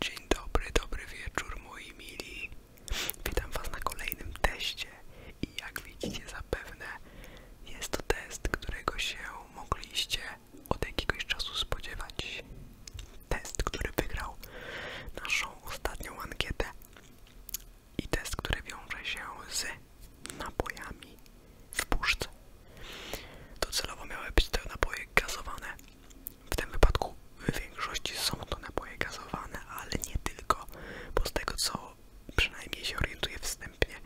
Dzień dobry, dobry wieczór moi mili. Witam Was na kolejnym teście i jak widzicie zapewne jest to test, którego się mogliście od jakiegoś czasu spodziewać. Test, który wygrał naszą ostatnią ankietę i test, który wiąże się z napojami w puszce. Docelowo miały być te napoje gazowane. W tym wypadku w większości są to napoje gazowane, ale nie tylko, bo z tego co przynajmniej się orientuję wstępnie,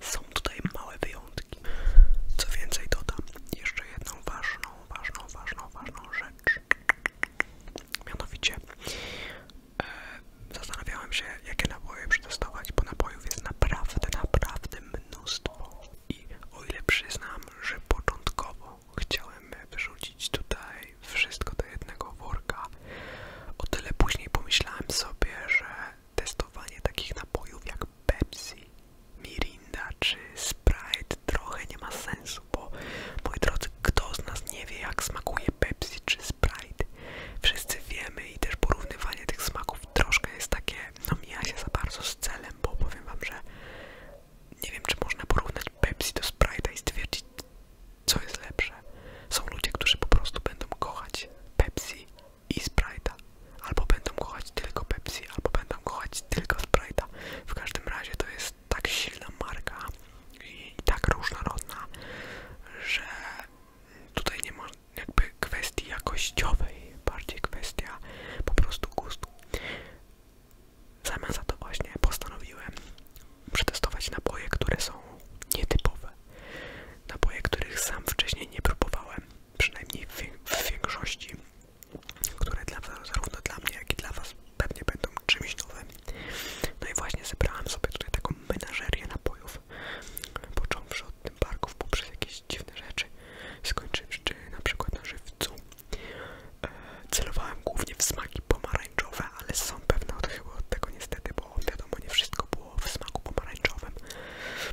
są tutaj małe wyjątki. Co więcej dodam jeszcze jedną ważną, ważną, ważną, ważną rzecz. Mianowicie e, zastanawiałem się, jakie napoje przetestować, bo napojów jest naprawdę, naprawdę mnóstwo. I o ile przyznam, że początkowo chciałem wyrzucić tutaj wszystko do jednego worka, o tyle później pomyślałem sobie, że testowanie takich napojów jak Pepsi, Mirinda czy Sprite trochę nie ma sensu, bo moi drodzy, kto z nas nie wie jak smakuje Pepsi czy Sprite? Wszyscy wiemy i też porównywanie tych smaków troszkę jest takie no mija się za bardzo z celem, bo powiem wam, że nie wiem, czy można porównać Pepsi do Sprite'a i stwierdzić, co jest lepsze. Są ludzie, którzy po prostu będą kochać Pepsi i Sprite'a. Albo będą kochać tylko Pepsi, albo będą kochać tylko Sprite'a. W każdym razie to jest tak silna marka i tak różnorodna, że tutaj nie można, jakby jakby kwestii jakościowej, bardziej kwestia po prostu gustu. Zamiast za to właśnie postanowiłem przetestować napoje, które są nietypowe. Napoje, których sam wcześniej nie próbowałem, przynajmniej w większości, które dla, zarówno dla mnie, jak i dla Was pewnie będą czymś nowym. No i właśnie zebrałem sobie tutaj taką menażerię napojów, począwszy od tym barków poprzez jakieś dziwne rzeczy. Skończyłem jeszcze na przykład na żywcu. E, celowałem głównie w smaki pomarańczowe, ale są pewne odchyły od tego niestety, bo wiadomo, nie wszystko było w smaku pomarańczowym.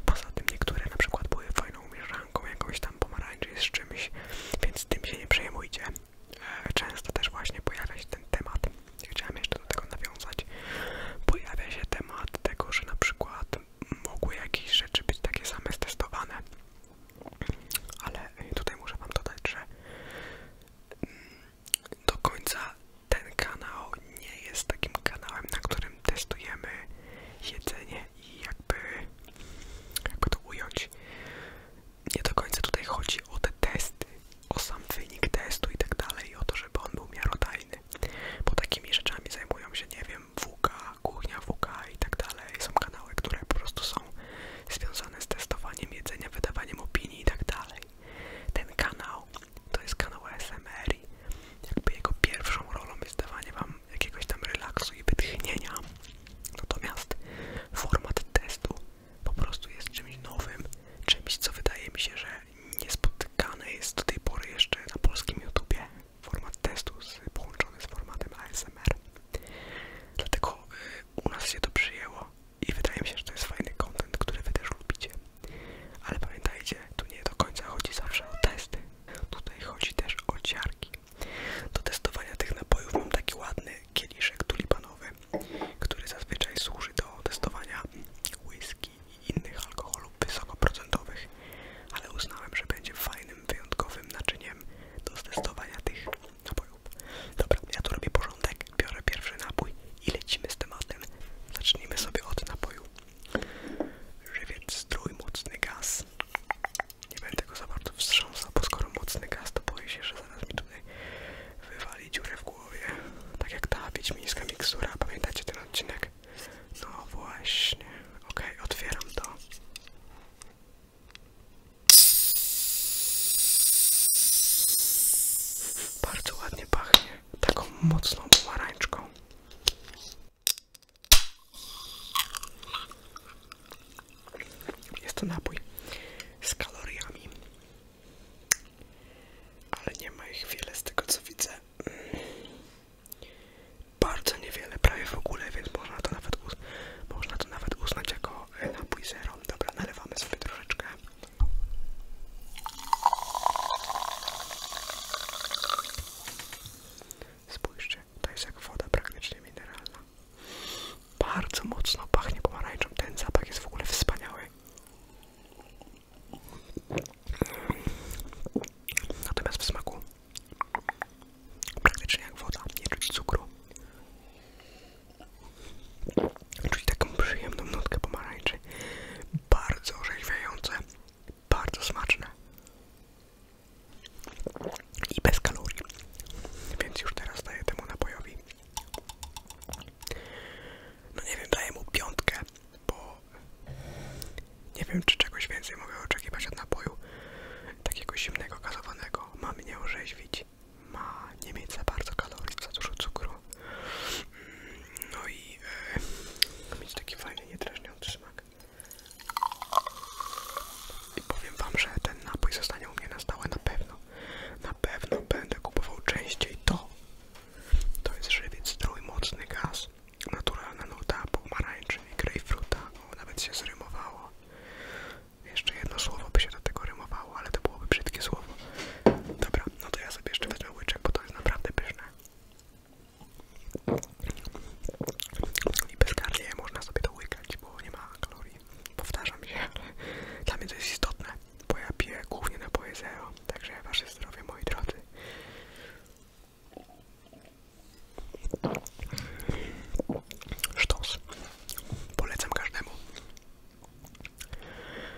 Poza tym niektóre na przykład były fajną mieszanką jakąś tam pomarańczy z czymś, więc tym się nie przejmujcie. E, często też właśnie pojawia się ten temat. Chciałem jeszcze do tego nawiązać. Pojawia się temat tego, że na przykład mogły jakieś rzeczy być takie same stestowane. Ale tutaj muszę wam dodać, że mm, do końca ten kanał nie jest takim kanałem, na którym testujemy jedzenie i jakby, jakby to ująć. Nie do końca tutaj chodzi o te testy, o sam wynik testu i tak dalej, o to, żeby on był miarodajny. Bo takimi rzeczami zajmują się, nie wiem, WK kuchnia WK i tak dalej. Są kanały, które po prostu są związane z testowaniem jedzenia, wydawaniem opinii i tak dalej. Ten kanał to jest kanał ASMR i jakby jego pierwszą rolą jest dawanie wam jakiegoś tam relaksu i wytchnienia. Natomiast format testu po prostu jest czymś nowym, czymś co wydaje mi się, że niespotykane jest do tej pory jeszcze na polskim YouTubie format testu z, połączony z formatem ASMR. Dlatego y, u nas się to przyjęło i wydaje mi się, że to jest fajny content, który wy też lubicie. Ale pamiętajcie, tu nie do końca chodzi zawsze o testy. Tutaj chodzi też o ciarki. Do testowania tych napojów mam taki ładny kieliszek tulipanowy, który zazwyczaj służy do testowania whisky i innych alkoholów wysokoprocentowych, ale uznałem, że będzie fajny fajnym, wyjątkowym naczyniem do testowania tych napojów. Dobra, ja tu robię porządek, biorę pierwszy napój i lecimy z tematem. Zacznijmy sobie od napoju. Żywiec strój, mocny gaz. Nie będę go za bardzo wstrząsał, bo skoro mocny gaz, to boję się, że zaraz mi tutaj wywalić dziurę w głowie. Tak jak ta wiedźmińska miksura, pamiętacie ten odcinek? No właśnie. ok, otwieram to. Bardzo ładnie pachnie, taką mocną pomarańczką. Jest to napój z kaloriami, ale nie ma ich wiele z tego co widzę bardzo niewiele, prawie w ogóle, więc można to nawet, uz można to uznać jako e, napój zero. Dobra, nalewamy sobie troszeczkę. Spójrzcie, to jest jak woda praktycznie mineralna. Bardzo mocno pachnie pomarańczą. Ten zapach jest w ogóle wspaniały. Natomiast w smaku Praktycznie jak woda, nie czuć cukru. Czuć taką przyjemną nutkę pomarańczy. Bardzo orzeźwiające, bardzo smaczne. I bez kalorii. Więc już teraz daję temu napojowi. No nie wiem, daję mu piątkę, bo nie wiem, czy czegoś więcej mogę oczekiwać od napoju takiego zimnego, gazowanego. Ma mnie orzeźwić, ma nie mieć za bardzo kalorii, za dużo cukru. Mm, no i e, mieć taki fajny, niedrażniący smak. I powiem wam, że ten napój zostanie u mnie na stałe na pewno. Na pewno będę kupował częściej to. To jest żywiec mocny gaz. Naturalna nuta pomarańczy i grejpfruta. O, nawet się zrymowało rymowało. Jeszcze jedno słowo by się do tego rymowało, ale to byłoby brzydkie słowo. Dobra, no to ja sobie jeszcze wezmę łyczek, bo to jest naprawdę pyszne. I bezkarnie można sobie to łykać, bo nie ma kalorii. Powtarzam się, ale dla mnie to jest istotne, bo ja piję głównie napoje zero, także wasze zdrowie, moi drodzy. Sztos. Polecam każdemu.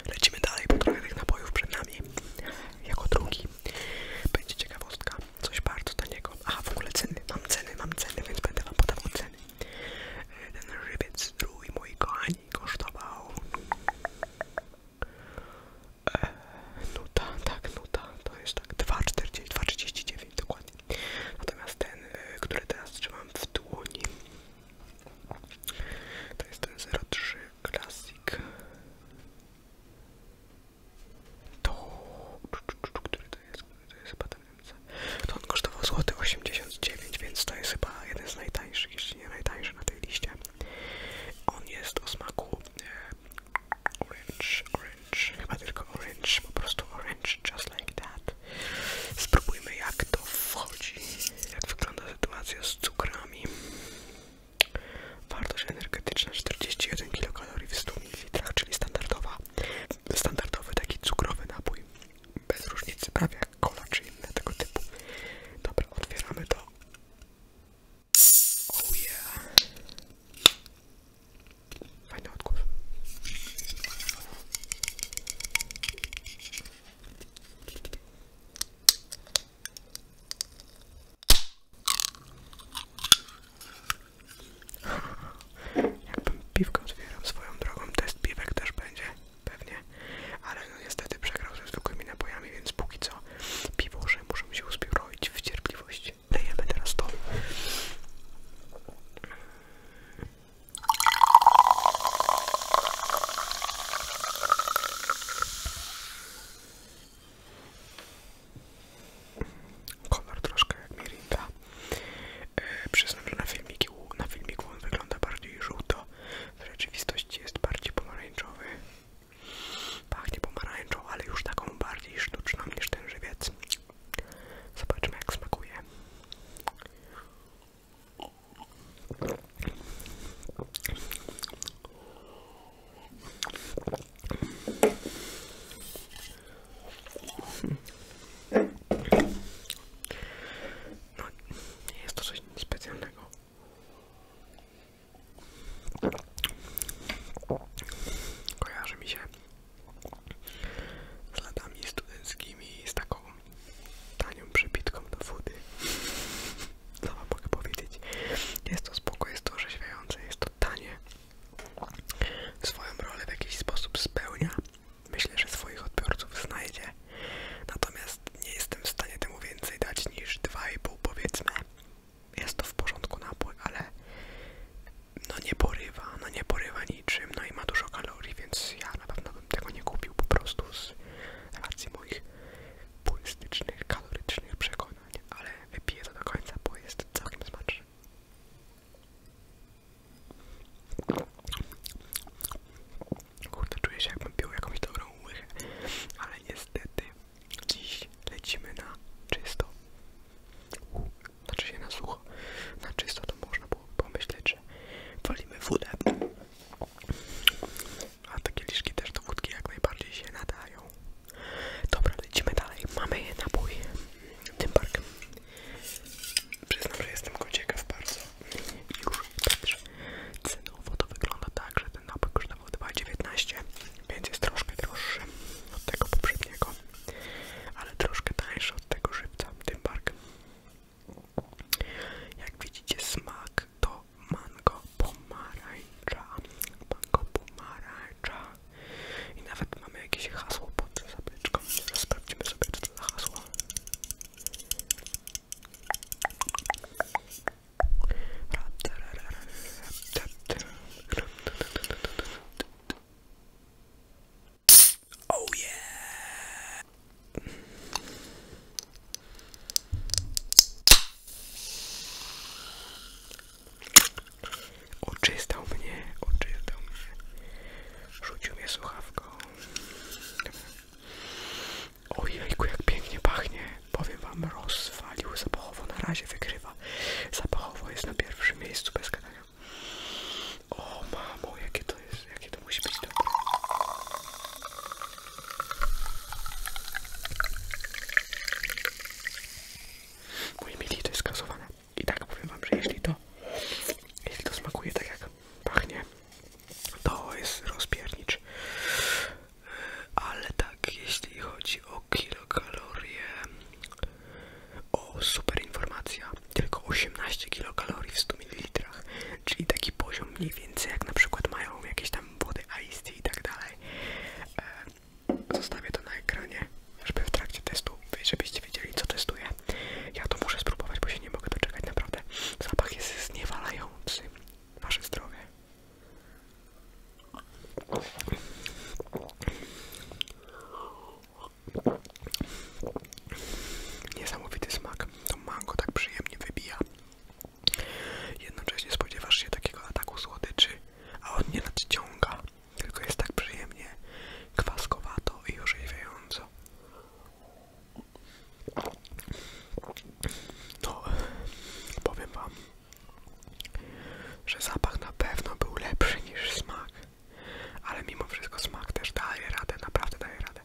Lecimy dalej, bo trochę tych napojów przed nami. Jako drugi będzie ciekawostka. Coś bardzo taniego. Aha, w ogóle ceny. Mam ceny, mam ceny, więc będę wam podawał ceny. E, ten rybiec strój, moi kochani, kosztował... E, nuta, tak, nuta. To jest tak 2,40, 2,39 wiem dokładnie. Natomiast ten, e, który teraz trzymam w dłoni, to jest ten 03 klasik, To... który to jest? To jest chyba ten MC. To on kosztował złoty 89, więc to jest chyba jeden z najtańszych, jeśli nie najtańszy na tej liście. On jest o smaku e, Orange, orange, chyba tylko orange, po prostu orange, just like that. Spróbujmy jak to wchodzi, jak wygląda sytuacja z cukrami. Wartość energetyczna 41 kilokalorii w 100 ml, czyli standardowa, standardowy taki cukrowy napój. Bez różnicy, prawie jak cola czy inne tego typu. Dobra, otwieramy to. Oh yeah. Fajny odgłos. Jakbym piwkę otwierał swoją drogą, test piwek też będzie, pewnie, ale no niestety przegrał ze zwykłymi napojami, więc póki co piwo, że muszę się uspiorować w cierpliwości zrobić. Dajemy teraz to. Kolor troszkę jak mirinda. E, przyznam, że na filmiku, na filmiku on wygląda bardziej żółto. W rzeczywistości jest bardziej pomarańczowy. Pachnie pomarańczą, ale już taką bardziej sztuczną niż ten żywiec. Zobaczmy jak smakuje. No, nie jest to coś specjalnego. Kojarzy mi się z latami studenckimi z taką tanią przepitką do wody. Co wam mogę powiedzieć? Jest to spoko, jest to orzeźwiające, jest to tanie. Swoją rolę w jakiś sposób spełnia. Myślę, że swoich odbiorców znajdzie. Natomiast nie jestem w stanie temu więcej dać niż 2,5 powiedzmy. Jest to w porządku napój, ale no nie porywa, no nie porywa niczym, no i ma dużo kalorii, więc ja na pewno bym tego nie kupił po prostu z racji moich purystycznych, kalorycznych przekonań, ale wypiję to do końca, bo jest całkiem smaczny. Kurde, czuję się jakbym pił jakąś dobrą łychę, ale niestety dziś lecimy na czysto znaczy się na sucho. Na czysto można było pomyśleć, że walimy wódę. A takie liszki też do wódki jak najbardziej się nadają. Dobra, lecimy dalej. Mamy napój. Tympark. Przyznam, że jestem go ciekaw bardzo. Już też cenowo to wygląda tak, że ten napój kosztował 2,19, więc jest troszkę droższy od tego poprzedniego ale troszkę tańsze od tego żywca, tym bark. Jak widzicie smak to mango pomarańcza, mango pomarańcza i nawet mamy jakieś hasło pod zapeczką, teraz sprawdzimy sobie to za hasło. Oh Oczystał mnie, oczystał mnie. Rzucił mnie słuchawką. Ojejku, jak pięknie pachnie. Powiem wam, rozwalił zapachowo. Na razie wykrywa. Zapachowo jest na pierwszym miejscu bez gadania. O mamo, jakie to jest, jakie to musi być dobre. Moi mili, to jest gazowane. I tak powiem wam, że jeśli to, jeśli to smakuje tak jak pachnie, to jest rozpiernicz. Ale tak, jeśli chodzi o kilokalorie, o, super informacja, tylko 18 kilokalorii w 100 ml, czyli taki poziom mniej więcej jak na przykład mają jakieś tam wody ice i tak dalej. E, zostawię to na ekranie, żeby w trakcie testu, żebyście wiedzieli co testuję. Ja to muszę spróbować, bo się nie mogę doczekać, naprawdę. Zapach jest zniewalający. Wasze zdrowie. Niesamowity smak, to mango tak przyjemnie wybija. Jednocześnie spodziewasz się takiego ataku słodyczy, a on nie nadciąga, tylko jest tak przyjemnie kwaskowato i orzeźwiająco. No, powiem wam, że zapach na pewno był lepszy niż smak ale mimo wszystko smak też daje radę, naprawdę daje radę.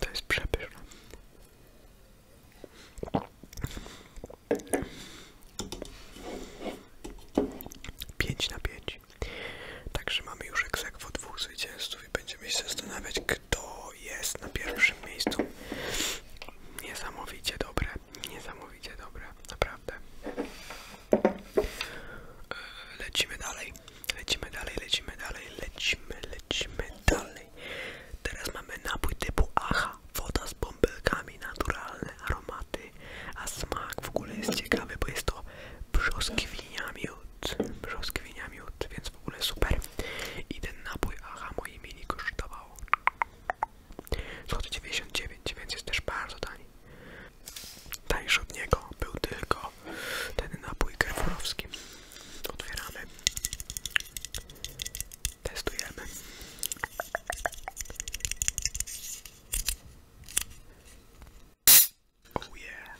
To jest przepyszne. Pięć na pięć. Także mamy już egzekwo dwóch zwycięzców i będziemy się zastanawiać, kto jest na pierwszym miejscu. Niesamowicie dobre niesamowicie dobre, naprawdę. E, lecimy dalej, lecimy dalej, lecimy dalej, lecimy, lecimy dalej. Teraz mamy napój typu AHA, woda z bąbelkami, naturalne aromaty, a smak w ogóle jest ciekawy, bo jest to brzoskwinia miód, brzoskwinia miód, więc w ogóle super. I ten napój AHA moi mini kosztował złoty więc jest też bardzo tani. Tańszy od niego był tylko ten napój kerforowski. Otwieramy. Testujemy. Oh yeah.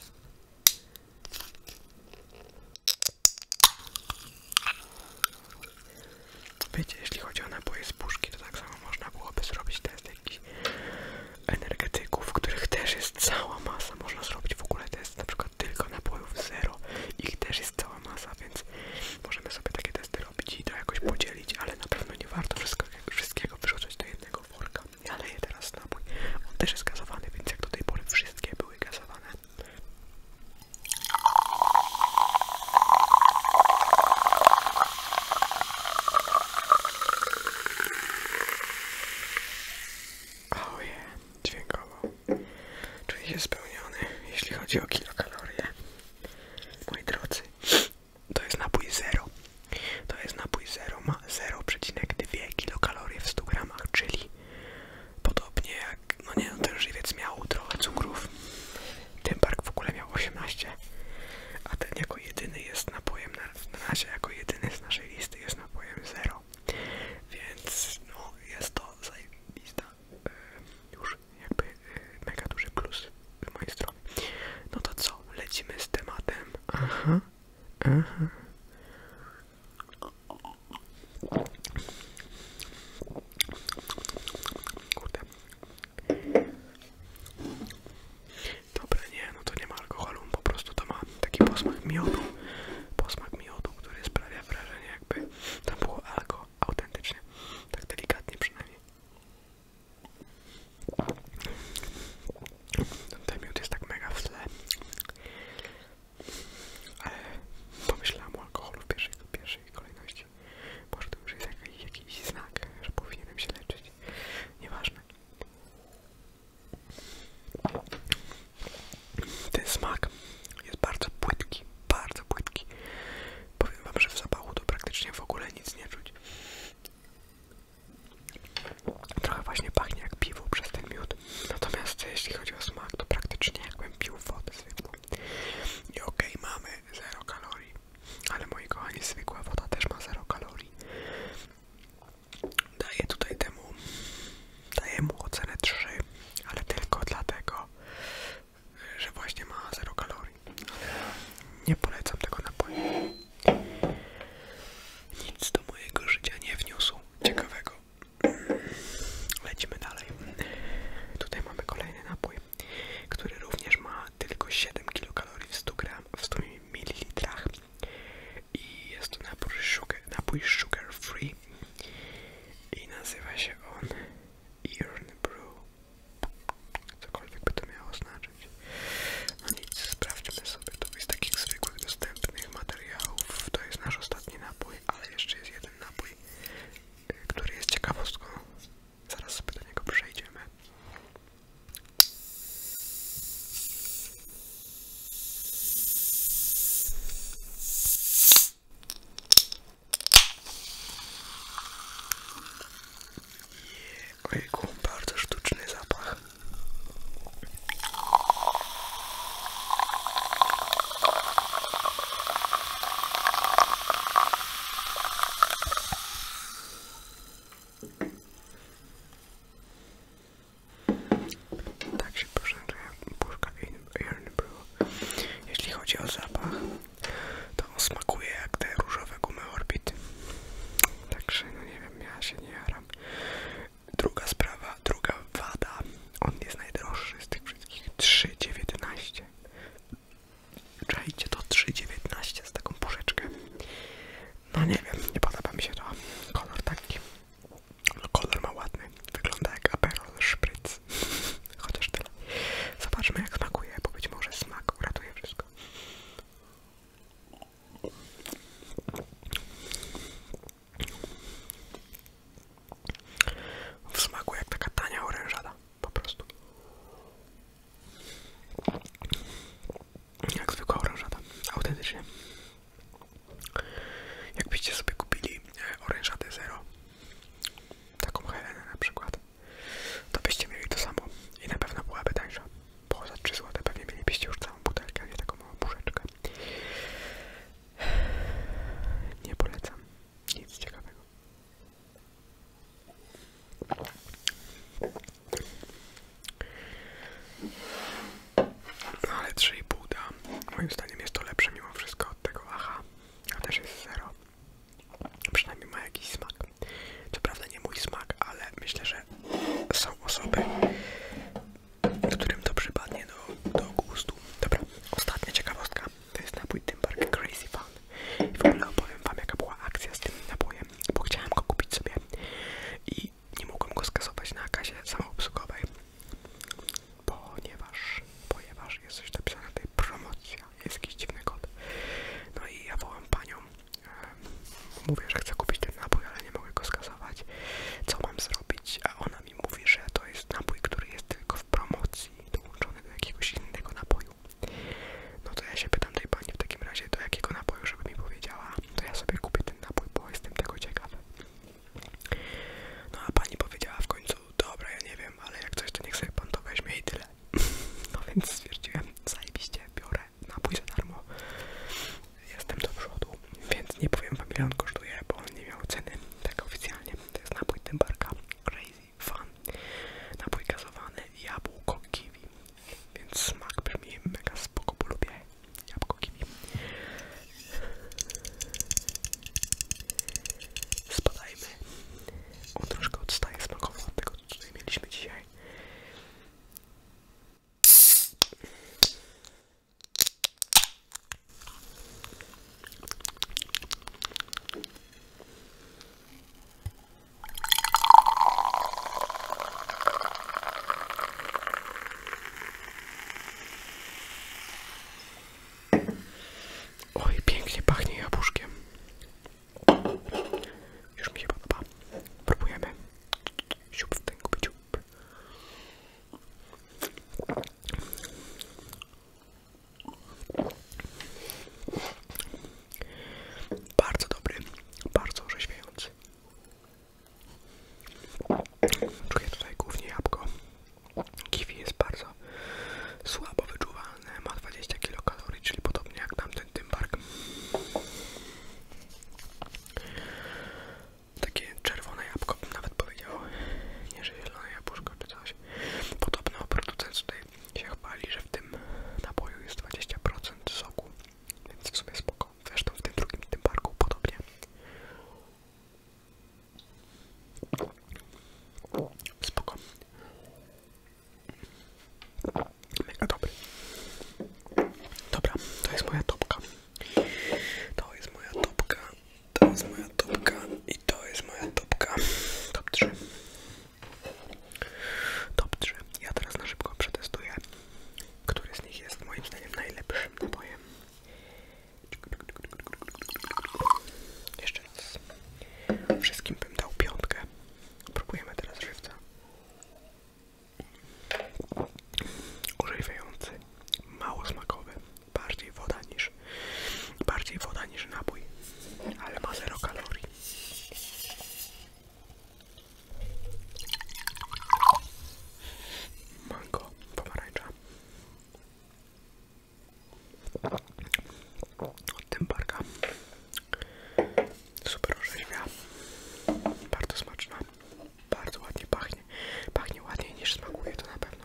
Wiecie, jeśli chodzi o napoje z puszki, to tak samo można byłoby zrobić test jakichś energetyków, w których też jest cała masa. Można zrobić w ogóle test na przykład tylko napojów zero, ich też jest cała masa, więc możemy sobie takie testy robić i to jakoś podzielić, ale na pewno nie warto wszystkiego wyrzucać do jednego worka. Ja leję teraz napój, on też jest gazowany, więc jak do tej pory wszystkie były gazowane. Oh yeah, dźwiękowo. Czuję się spełniony, jeśli chodzi o kilokalorie. Moi drodzy, to jest napój zero. To jest napój zero, ma 0,2 kilokalorie w 100 gramach, czyli podobnie jak, no nie, no ten żywiec miał trochę cukrów, ten park w ogóle miał 18, a ten jako jedyny jest napojem, na, na razie jako jedyny z naszej listy jest napojem 0. Więc no, jest to zajebista, e, już jakby e, mega duży plus z mojej strony. No to co, lecimy z tematem. Aha, aha. Kurde, Dobra, nie, no to nie ma alkoholu, po prostu to ma taki posmak miodu, posmak miodu, który sprawia wrażenie jakby tam było alkohol autentycznie, tak delikatnie przynajmniej. Ten miód jest tak mega w tle, ale pomyślałam o alkoholu w pierwszej, w pierwszej kolejności. Może to już jest jakiś, jakiś znak, że powinienem się leczyć. Nieważne. Ten smak jest bardzo płytki, bardzo płytki. Powiem wam, że w zapachu to praktycznie w ogóle nic nie czuć. Trochę właśnie pachnie jak piwo przez ten miód. Natomiast jeśli chodzi o smak, to praktycznie jakbym pił wodę zwykłą. I okej, okay, mamy 0 kalorii. Ale moi kochani, zwykła woda też ma 0 kalorii. Daję tutaj temu, daję mu ocenę 3, ale tylko dlatego, że właśnie ma 0 kalorii. Nie polecam tego napoju. Nic do mojego życia nie wniósł ciekawego. Lecimy dalej. Tutaj mamy kolejny napój który również ma tylko 7 kilokalorii w 100 gram, w 100 ml i jest to napój sugar, free i nazywa się on Iron Brew cokolwiek by to miało znaczyć no nic, sprawdźmy sobie to, z takich zwykłych dostępnych materiałów to jest nasz ostatni napój, ale jeszcze jest jeden napój y, który jest ciekawostką Zaraz sobie do niego przejdziemy. Ojejku, bardzo sztuczny zapach. Tak się poszerza puszka Iron był, Jeśli chodzi o zapach, to on smakuje jak te różowe gumy Orbit. Także, no nie wiem, ja się nie jaram. Druga sprawa, druga wada. On jest najdroższy z tych wszystkich. 3,19. Czajcie to 3,19 z taką puszeczkę. No nie wiem, nie podoba mi się to. Kolor taki. No, kolor ma ładny. Wygląda jak aperol szpryc. Chociaż tyle. Zobaczmy jak smakuje, bo być może smak uratuje wszystko. W smaku jak taka tania orężada po prostu. Jak zwykła orężada, autentycznie. Jakbyście sobie kupili e, orężadę zero, taką Helenę na przykład, to byście mieli to samo i na pewno byłaby tańsza. Bo za 3 zł pewnie mielibyście już całą butelkę, a nie taką małą puszeczkę. Nie polecam nic ciekawego. No ale 3,5 da. Moim zdaniem jest to lepsze mimo wszystko od tego aha. A też jest 0. Przynajmniej ma jakiś smak. Co prawda nie mój smak, ale myślę, że są osoby, którym to przypadnie do, gustu. Dobra, ostatnia ciekawostka. To jest napój Tymbark Crazy stan. I w opowiem wam jaka była akcja z tym nabojem, bo chciałem go kupić sobie i nie mogłem go skasować na kasie samoobsługowej, ponieważ, ponieważ jest coś napisane tutaj promocja, jest jakiś dziwny kod. No i ja wołam panią, mówię, że chcę kupić ten nabój, ale nie mogę go skasować, co mam zrobić, a ona mi mówi, że to jest nabój, który jest tylko w promocji, dołączony do jakiegoś innego naboju. No to ja się pytam tej pani w takim razie do jakiego napoju, żeby mi powiedziała, to ja sobie kupię ten napój, bo jestem tego ciekawy. No a pani powiedziała w końcu, dobra, ja nie wiem, ale jak coś to niech sobie pan to weźmie i tyle. No więc stwierdziłem, zajebiście, biorę napój za darmo. Jestem do przodu, więc nie powiem wam ile on kosztuje, bo on nie miał ceny, tak oficjalnie. To jest napój barka Crazy Fun, napój gazowany, jabłko, kiwi, więc smak brzmi mega spoko, polubię, lubię jabłko kiwi. Spadajmy. On troszkę odstaje smakowo od tego, co tutaj mieliśmy dzisiaj. Oj, pięknie pachnie jabłuszkiem. Już mi się podoba. Próbujemy. Siup w tęgu, siup. Bardzo dobry, bardzo orzeźwiający. Czuję tutaj głównie jabłko. Kiwi jest bardzo słabo wyczuwalne, ma 20 kilokalorii, czyli podobnie jak tamten tymbark. Takie czerwone jabłko nawet powiedział, nie że zielone jabłuszko czy coś. Podobno producent tutaj się chwali, że w tym napoju jest 20% soku, więc w sumie spoko. Zresztą w tym drugim, tym parku podobnie. Spoko. Mega dobry. Dobra, to jest moja topka. To jest moja topka. To jest moja topka. I to jest moja topka. Top 3. Top 3. Ja teraz na szybko przetestuję, który z nich jest moim zdaniem najlepszym napojem. Jeszcze raz. Wszystkim bym dał piątkę. Próbujemy teraz żywca. Orzeźwiający, mało smakowy, bardziej woda niż bardziej woda niż napój, ale ma zero kalorii. Mango, pomarańcza. Od Dymbarka. Super orzeźwia. Bardzo smaczna. Bardzo ładnie pachnie. Pachnie ładniej niż smakuje, to na pewno.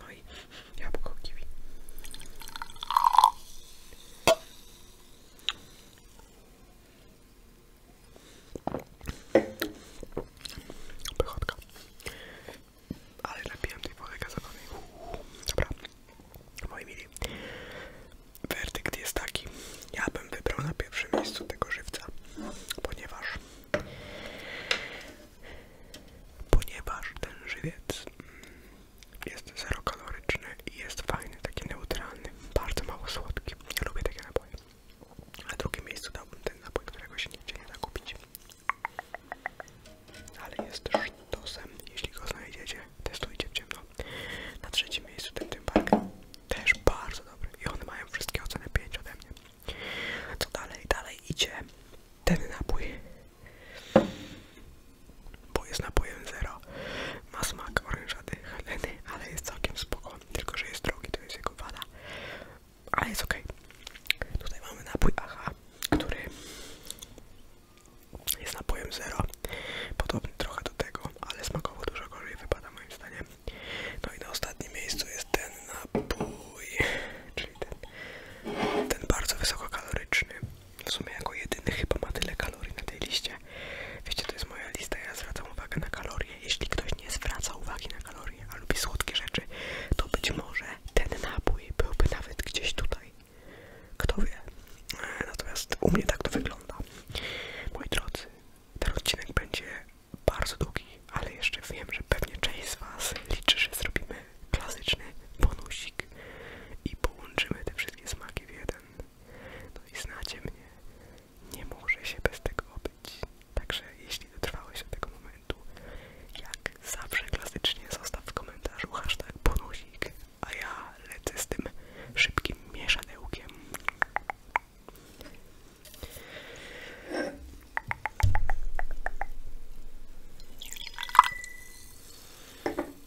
No i jabłko kiwi. Pychotka. Ale napiłem tej wody gazowanej. Dobra. Moi mili, werdykt jest taki. Ja bym wybrał na pierwszym miejscu tego żywca, ponieważ ponieważ ten żywiec mm, jest zerokaloryczny jest fajny, taki neutralny, bardzo mało słodki. lubię takie napoje. A drugim miejscu dałbym ten napój, którego się nigdzie nie da kupić. Ale jest sztosem, jeśli go znajdziecie, testujcie w ciemno. Na trzecim miejscu ten tympark, też bardzo dobry i one mają wszystkie oceny 5 ode mnie. Co dalej? Dalej idzie ten napój bo jest napojem zero. Ma smak orężady Heleny, ale jest całkiem spoko, tylko że jest drogi, to jest jego wada. Ale jest ok. Tutaj mamy napój AHA, który jest napojem zero. Podobny trochę do tego, ale smakowo dużo gorzej wypada moim zdaniem. No i na ostatnim miejscu jest ten napój, czyli ten, ten bardzo wysokokaloryczny. W sumie jako jedyny chyba ma tyle kalorii na tej liście wiecie. to jest moja lista, ja zwracam uwagę na kalorie. Jeśli ktoś nie zwraca uwagi na kalorie, a lubi słodkie rzeczy, to być może ten napój byłby nawet gdzieś tutaj. Kto wie. E, natomiast u mnie tak to wygląda. Moi drodzy, ten odcinek będzie bardzo długi, ale jeszcze wiem, że pewnie część z Was liczy, że zrobimy klasyczny bonusik i połączymy te wszystkie smaki w jeden. No i znacie mnie, nie może się bez tego obyć. Także jeśli dotrwałeś do tego momentu, jak zawsze klasycznie zostaw w komentarzu hashtag bonusik, a ja lecę z tym szybkim mieszadełkiem.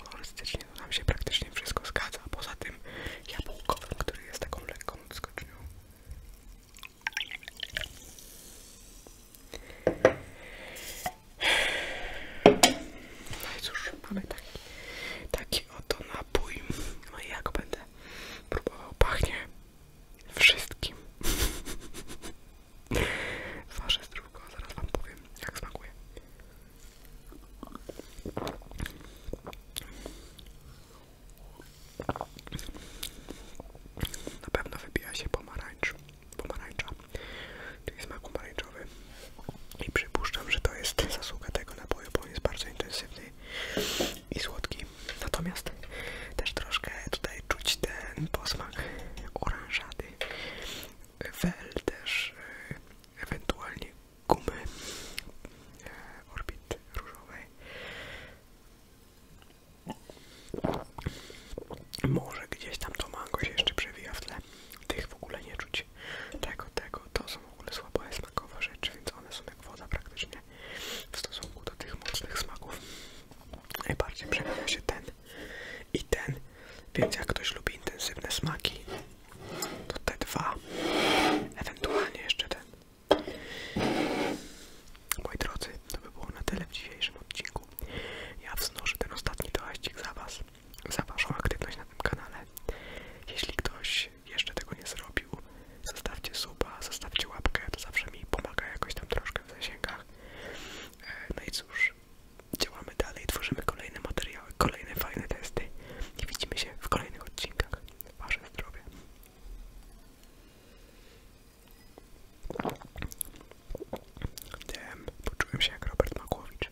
Kolorystycznie to nam się praktycznie wszystko zgadza, poza tym jabłkowym, który jest taką lekką odskocznią. No i cóż, mamy taki, oto napój. No i jak będę próbował, pachnie wszystkim. Wasze zdrówko, zaraz wam powiem, jak smakuje. Na pewno wybija się pomarańcz, pomarańcza, czyli smak pomarańczowy i przypuszczam, że to jest zasługa tego napoju, bo on jest bardzo intensywny i słodki. Natomiast też troszkę tutaj czuć ten posmak oranżady, wel też, e, ewentualnie gumy e, orbit różowej. Może gdzieś tam to mango się jeszcze przewija w tle. Tych w ogóle nie czuć tego, tego, to są w ogóle słabo smakowe rzeczy, więc one są jak woda praktycznie w stosunku do tych mocnych smaków. Najbardziej przejawia się ten i ten, więc jak ktoś lubi intensywne smaki, to te dwa, ewentualnie jeszcze ten. Moi drodzy, to by było na tyle w dzisiejszym odcinku. Ja wznoszę ten ostatni toaścik za Was za Waszą aktywność na tym kanale. Jeśli ktoś jeszcze tego nie zrobił, zostawcie suba, zostawcie łapkę, to zawsze mi pomaga jakoś tam troszkę w zasięgach. E, no i cóż, działamy dalej, tworzymy kolejne materiały, kolejne fajne testy i widzimy się w kolejnych odcinkach. Wasze zdrowie. Damn, poczułem się jak Robert Makłowicz.